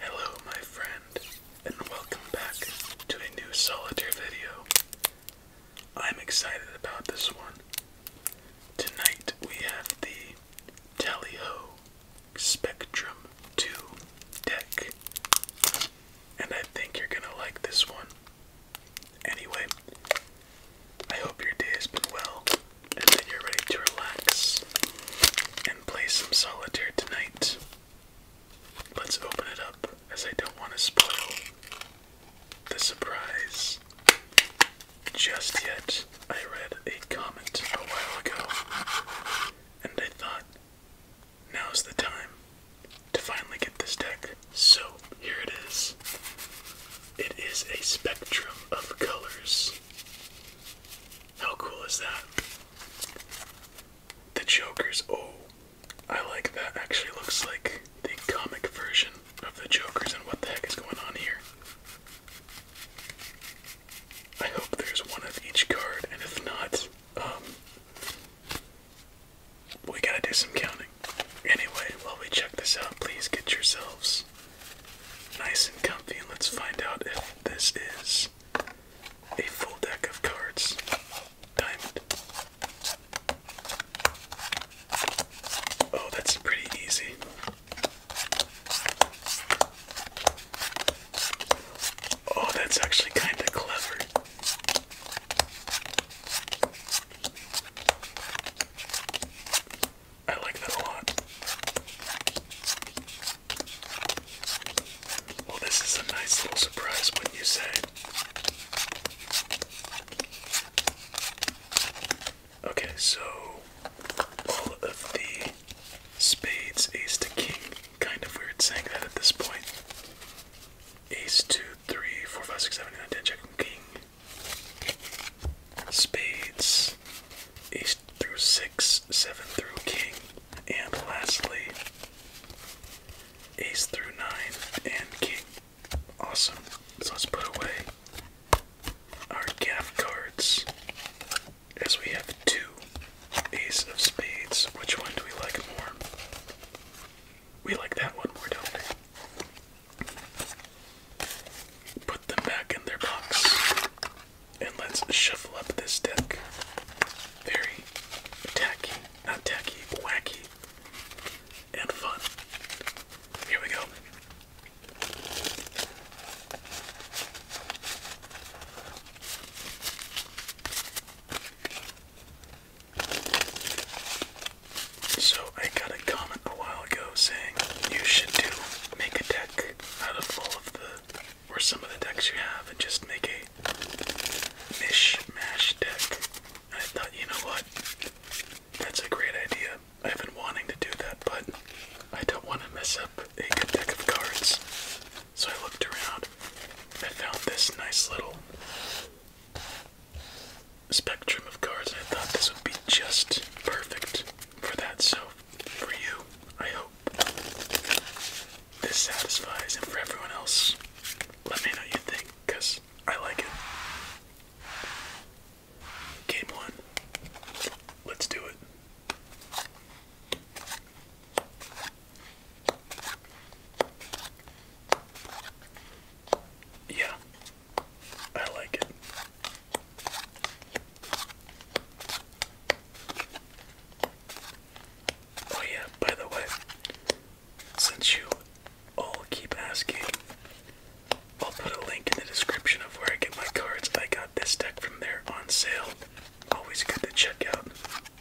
Hello, my friend, and welcome back to a new solitaire video. I'm excited about this one. Tonight we have the Tally Ho Spectrum 2 deck, and I think you're gonna like this one. Anyway, I hope your day has been well and that you're ready to relax and play some solitaire tonight. Let's open it up as I don't want to spoil the surprise. Just yet, I read a comment a while ago and I thought, now's the time to finally get this deck. So here it is. It is a spectrum of colors. How cool is that? The Joker's. Oh, I like that. Actually, looks like the comic version of the Joker's and what the heck is going on here. I hope there's one of each card, and if not, um, we gotta do some counting. Anyway, while we check this out, please get yourselves nice and comfy and let's find out if this is a full deck of cards. Diamond. Oh, that's pretty easy. Oh, that's actually kind of clever. I like that a lot. Well, this is a nice little surprise, wouldn't you say? Okay, so all of the spades, ace to king. Kind of weird saying that at this point. Ace two three, four, five, six, seven, nine, ten. Check king. Spades. Ace through six, seven through king, and lastly, ace through nine and king. Awesome. So let's put away our gaff cards as we have two ace of spades. Which one do we like more? We like that one more, don't we? Put them back in their box. And let's shuffle up this deck. Very tacky, not tacky, wacky, and fun. Here we go. So I got a comment a while ago saying you should do make a deck out of all of the or some of the decks you have and just make a mish mash deck. I thought, you know what? That's a great idea. I've been wanting to do that, but I don't want to mess up a good deck of cards. So I looked around. I found this nice little spectrum of cards, and I thought this would be just perfect for that. So, for you, I hope this satisfies, and for everyone else, let me know what you think, because I like it. Game one. Let's do it. Yeah, I like it. Oh, yeah, by the way, since you all keep asking, I'll put a link in the description of where I get my cards. I got this deck from there on sale. Always good to check out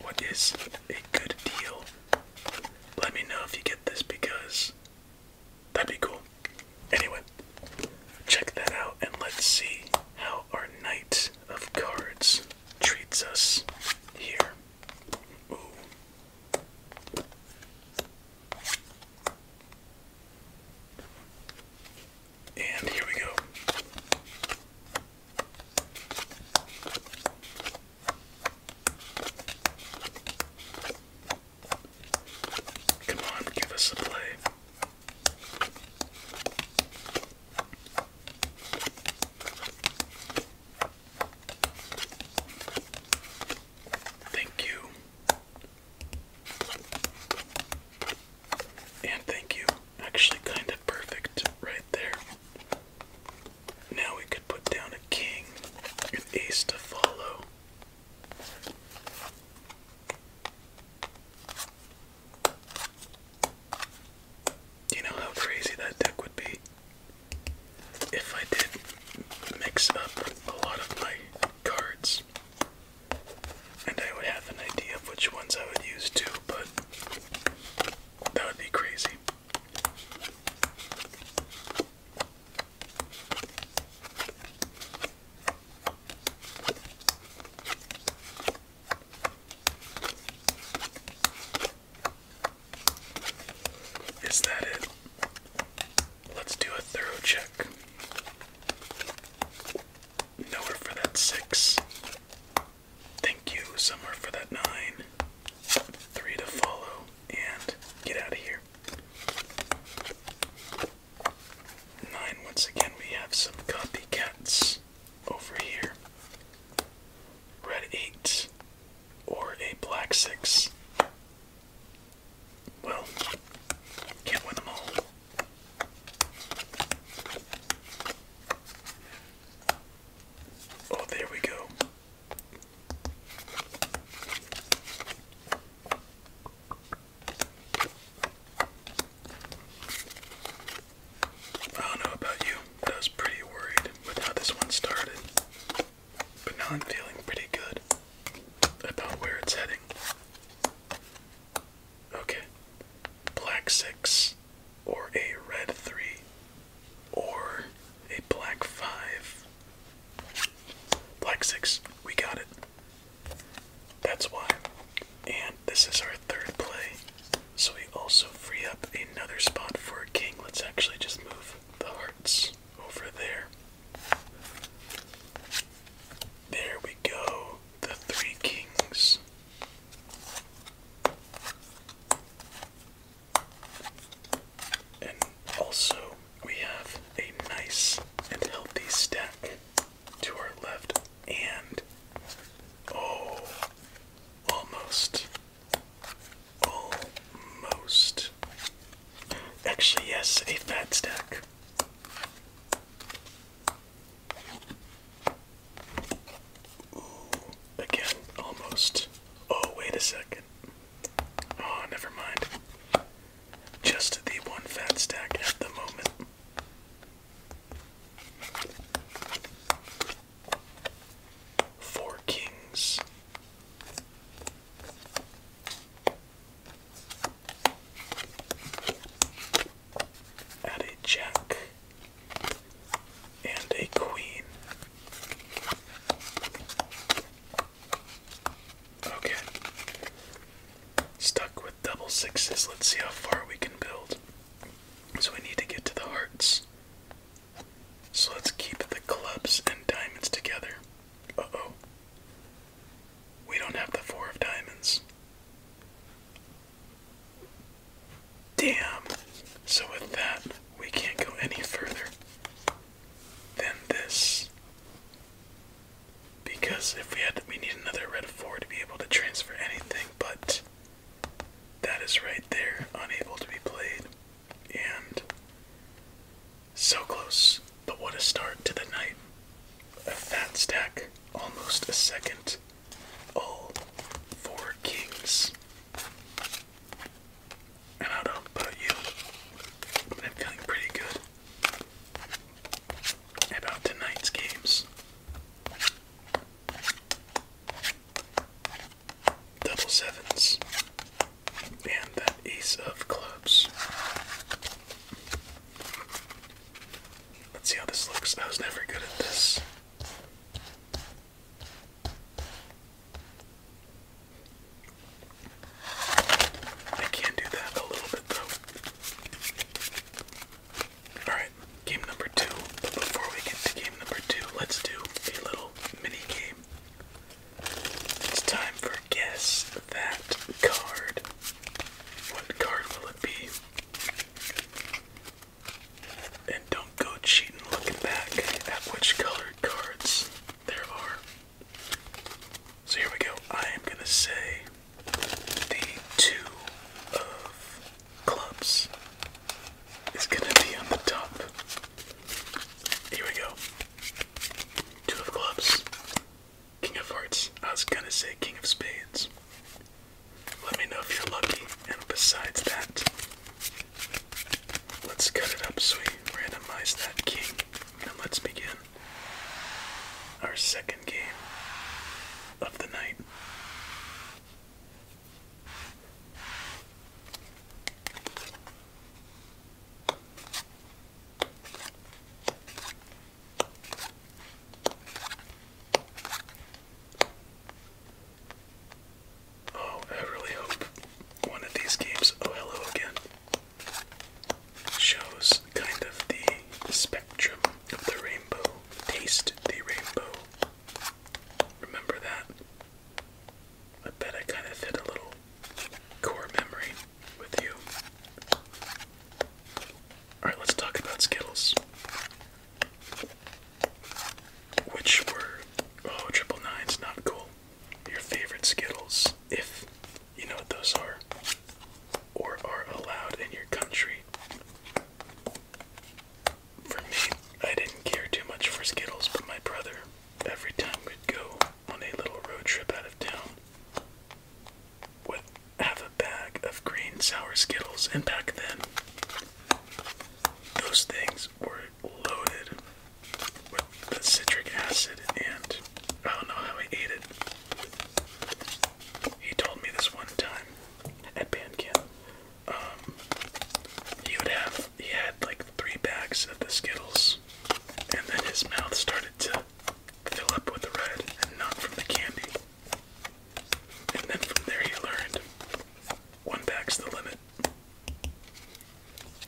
what is a good deal. Let me know if you get this because that'd be cool. Anyway, check that out and let's see how our Knight of Cards treats us here. And here we go. Come on, give us a play. Thank you. And thank you. Actually, kind of perfect right there. Now we could put down a king, an ace to follow. You know how crazy that deck would be if I did mix up a lot of my cards and I would have an idea of which ones I would use too, but that would be crazy. Is that it? Let's do a thorough check. Nowhere for that six. Thank you, Summer, for that nine. Three to follow, and get out of here. Nine, once again, we have some copycats over here. Red eight, or a black six. Well, can't win them all. Oh, there we go. I don't know about you, but I was pretty worried with how this one started. But now I'm feeling pretty good about where it's heading. Okay. Black 6 or a red 3 or a black five. Black six, we got it. That's why. And this is our third play. So we also free up another spot for a king. Let's actually just move the hearts over there. There we go. The three kings. And also, we have a nice and healthy stack to our left, and oh, almost, almost. Actually, yes, a fat stack. Ooh, again, almost. Oh, wait a second. Oh, never mind. Just the one fat stack at the moment. Four kings. Add a jack and a queen. Okay. Stuck with double sixes. Let's see how far we can build. So we need to get to the hearts. So let's keep the clubs and diamonds together. Uh oh. We don't have the four of diamonds. Damn. So with that, we can't go any further than this. Because if we had we need another red 4 to be able to transfer anything, but that is right there, unable to be played. And so close, but what a start to the night. A fat stack, almost a second all oh, four kings. And I don't know you, I'm feeling pretty good about tonight's games. Double sevens and that ace of clubs. Let's see how this looks. I was never good at this. I can do that a little bit though. Alright, game number two. But before we get to game number two, let's do a little mini game. It's time for guess that card. What card will it be? And don't go cheating looking back at which colored cards there are. So here we go. I am going to say the two of clubs is going to be on the top. Here we go. Two of clubs. King of hearts. I was going to say king of spades. Let me know if you're lucky. And besides that, let's cut it up so we randomize that king. And let's begin our second game of the night. Oh, I really hope one of these games, Oh Hello Again, shows kind of the spectrum of the rainbow. Taste the rainbow. Remember that? I bet I kind of hit a little core memory with you. Alright, let's talk about Skittles. Which were oh triple nines, not cool. Your favorite Skittles, if you know what those are, or are allowed in your country. For me, I didn't care too much for Skittles, but my brother, every time we'd go on a little road trip out of town, would have a bag of green sour Skittles, and back then those things were loaded with the citric acid, and I don't know how he ate it. He told me this one time at band camp. Um, he would have he had like three bags of the Skittles, and then his mouth started to fill up with the red and not from the candy. And then from there he learned one back's the limit.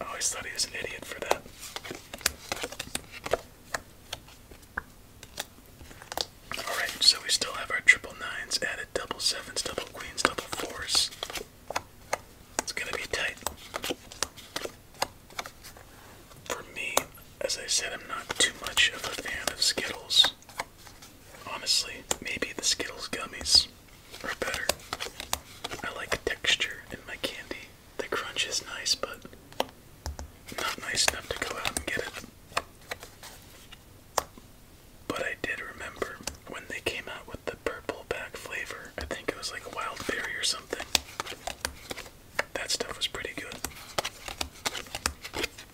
I always thought he was an idiot for that. Alright, so we still have our triple nines added, double sevens, double queens, double fours. It's gonna be tight. For me, as I said, I'm not too much of a fan of Skittles. Honestly, maybe the Skittles gummies are better. I like texture in my candy. The crunch is nice, but not nice enough to go out and get it. But I did remember when they came out with the purple back flavor. I think it was like wild berry or something. That stuff was pretty good.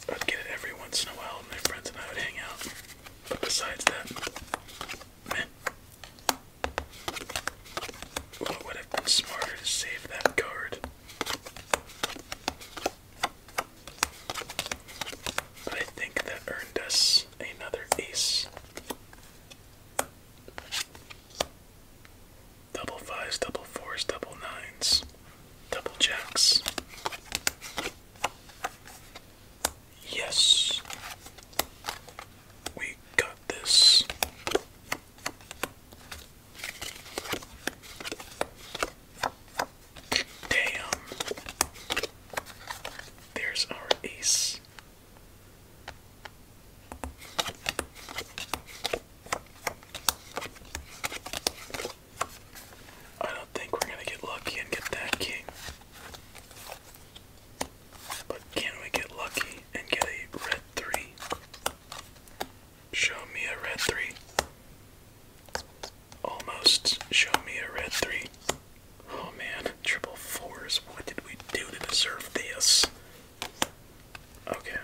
I'd get it every once in a while, and my friends and I would hang out. But besides that, meh. Well, it would have been smarter to save that card. I think that earned us another ace. Double fives, double fours, double nines, double jacks. Yes, we got this. Damn, there's our ace. I don't think we're gonna get lucky and get that king. But can we get lucky and get a red three? Show me a red three. Almost show me a red three. Oh man, triple fours. What did we do to deserve this? Okay.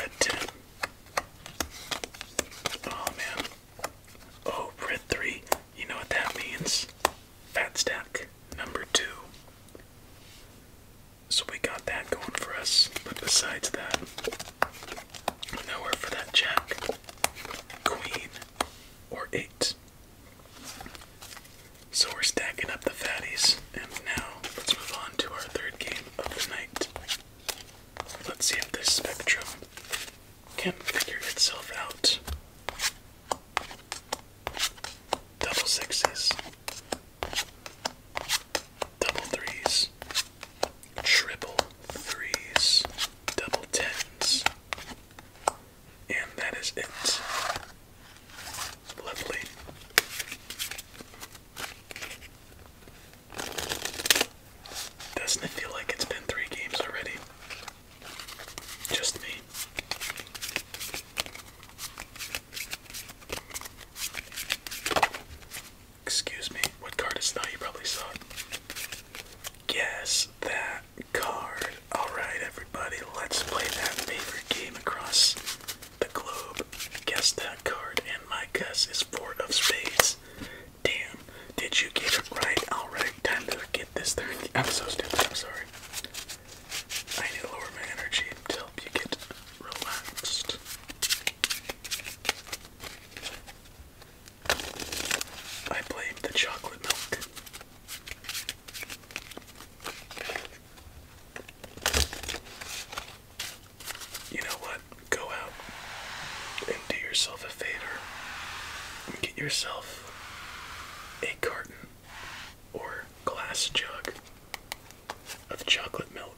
Red 10. Oh man. Oh, red 3. You know what that means? Fat stack number 2. So we got that going for us. But besides that, nowhere for that jack, queen, or 8. So we're stacking up the fatties, and now let's move on to our third game of the night. Let's see if this spectrum can figure itself out. Double sixes, double threes, triple threes, double tens, and that is it. Lovely. Doesn't it feel like it's been three games already? Just me. Excuse me, what card is that? You probably saw Guess that card. Alright, everybody, let's play that favorite game across the Globe. Guess that card, and my guess is four of spades. Damn, did you get it right? Alright, time to get this third. I'm so stupid, I'm sorry. I need to lower my energy until you get relaxed. I blame the chocolate milk. You know what? Go out and do yourself a favor and get yourself a carton or glass jug of chocolate milk.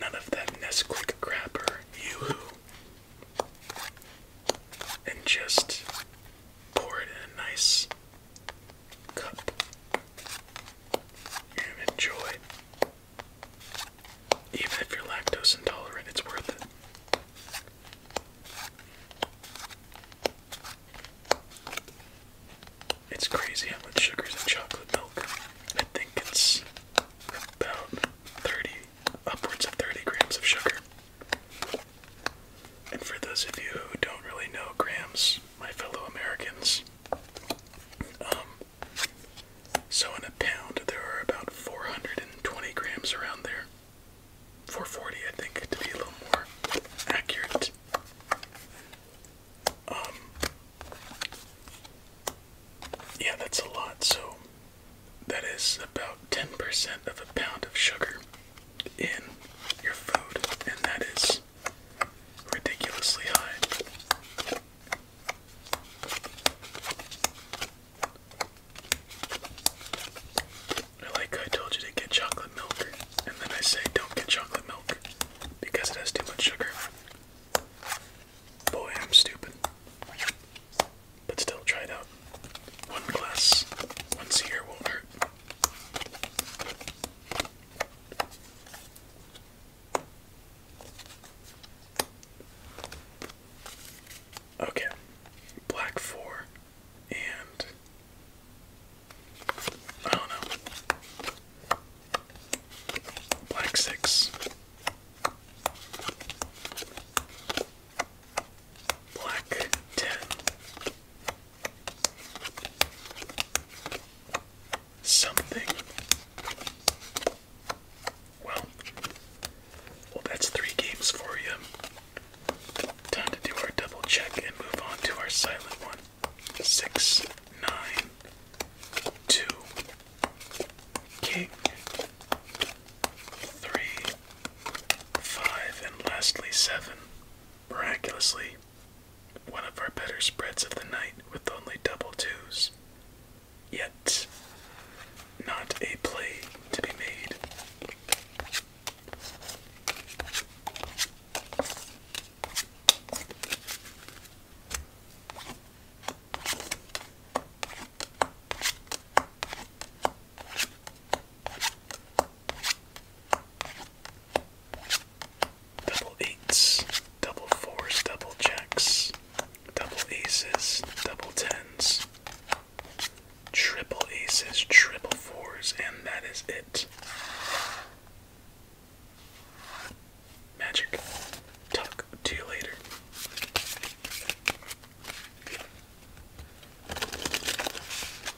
None of, that Nesquik crap yoo-hoo. And just pour it in a nice cup and enjoy. Even if you're lactose intolerant, it's worth it. It's crazy how much sugar's in chocolate milk. I think it's about 30, upwards of 30 grams of sugar. And for those of you who don't really know grams, my fellow Americans. Um, so in a pound, there are about 420 grams around there. 440, I think, to be a little more accurate. Um, yeah, that's a lot. So that is about 10% of a pound of sugar in your food, and that is ridiculously high. I like I told you to get chocolate milk, and then I say don't get chocolate milk because it has too much sugar. Boy, I'm stupid. But still, try it out. One glass once a won't hurt. Okay, black four, and I don't know, black six, black ten, Something. Well, well, that's three games for you. Time to do our double check and move on to our silent one. Six, nine, two, king, three, five, and lastly seven. Miraculously, one of our better spreads of the night with only double twos. Yet, not a play to be made double eights, double fours, double jacks, double aces, double tens, triple aces, triple fours, and that is it. Magic. Talk to you later.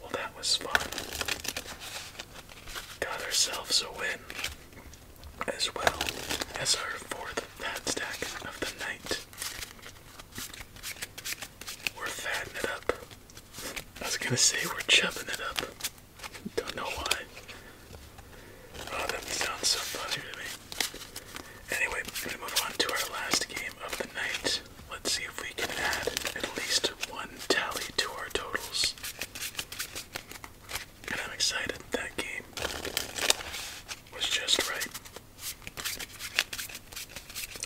Well, that was fun. Got ourselves a win, as well as our fourth fat stack of the night. We're fatting it up. I was gonna say we're chipping it up. Don't know why. Oh, that sounds so familiar to me. Anyway, we move on to our last game of the night. Let's see if we can add at least one tally to our totals. And I'm excited. That game was just right.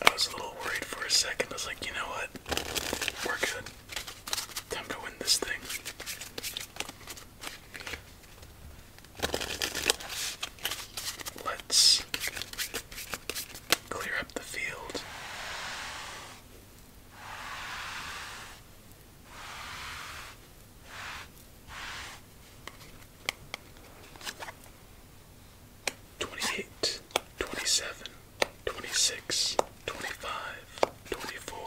I was a little worried for a second. I was like, you know what? We're good. Time to win this thing. Let's clear up the field. Twenty eight, twenty seven. 26, 25, 24,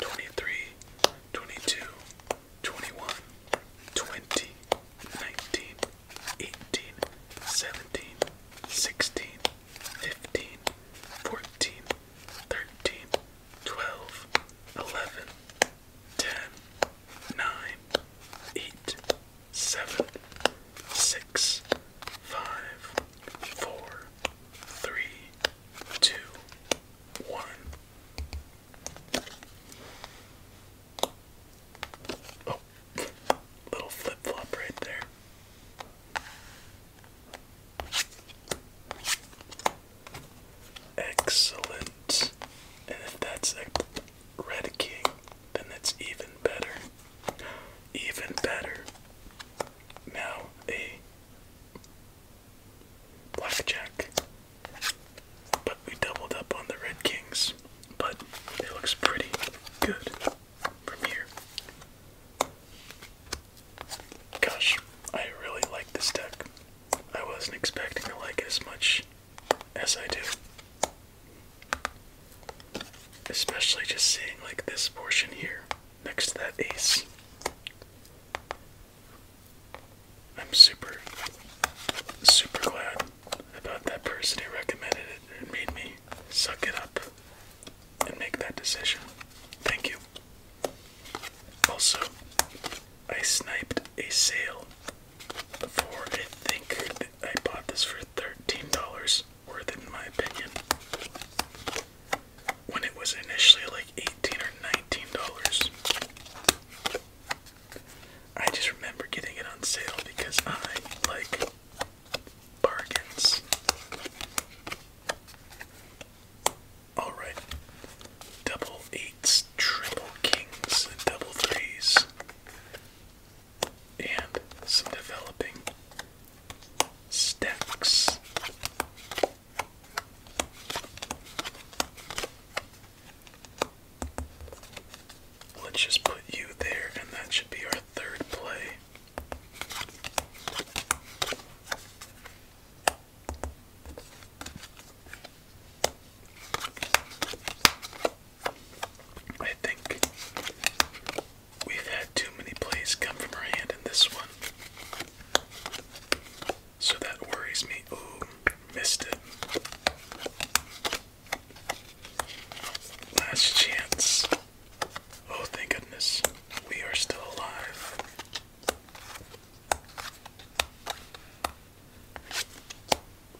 23, 22, 21, 20, 19, 18, 17, 16, 15, 14, 13, 12, 11, 10, 9, 8, 7, 6, 5, four, three, two, one. Oh, little flip flop right there. Excellent. And if that's red king, then that's even better. Even better. Now a blackjack. But we doubled up on the Red Kings. But it looks pretty good from here. Gosh, I really like this deck. I wasn't expecting to like it as much as I do. Especially just seeing like this portion here. Next to that ace. I'm super, super glad about that person who recommended it and made me suck it up and make that decision. Thank you. Also, I sniped a sale before I think I bought this for $13 worth it in my opinion. When it was initially like 18 or 19 dollars. I just remember getting it on sale because I like bargains. Alright. Double eights, triple kings, double threes, and some developing Sticks. Let's just put you there, and that should be our third play. I think We've had too many plays come from her hand in this one. So that worries me. Ooh, missed it. Last chance. Oh, thank goodness. We are still alive.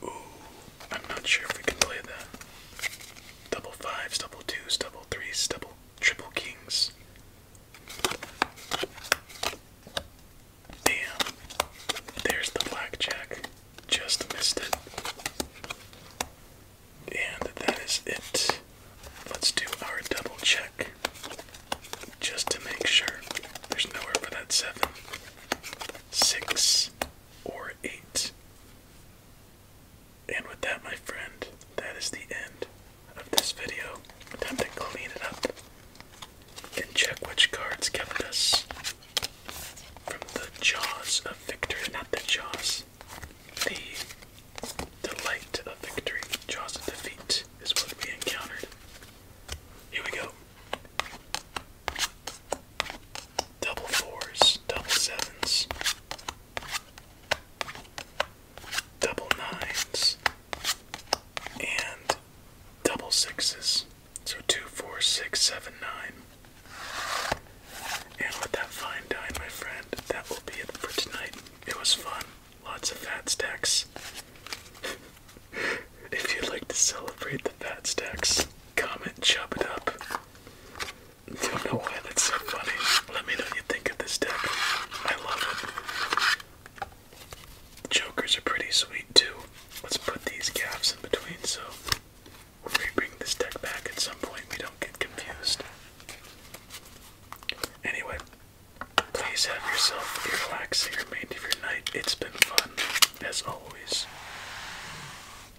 Ooh, I'm not sure if we can play that. Double double Triple Kings. Damn. There's the blackjack. Just missed it. And that is it. Let's do our double check. Just to make sure. There's nowhere for that seven, six, or eight. And with that, my friend, that is the end of this video. Time to clean it up and check which cards kept us from the jaws of victory. Not the jaws, the delight of victory. Jaws of defeat is what we encountered. Here we go. Double fours, double sevens, double nines, and double sixes. So two, four, six, seven, nine. And with that fine dine, my friend, that will be it for tonight. It was fun. Lots of fat stacks. if you'd like to celebrate the fat stacks, comment chop it up. Don't know why that's so funny. Let me know what you think of this deck. I love it. Jokers are pretty sweet too. Let's put these gaps in between so we bring this deck back at some point we don't get confused. Anyway, please have yourself a relaxing remainder of your night. It's been fun, as always.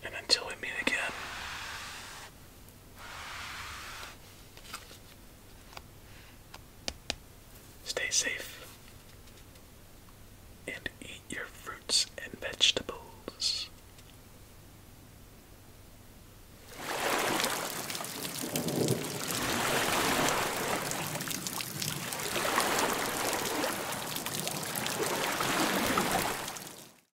And until we meet again, Stay safe and eat your fruits and vegetables.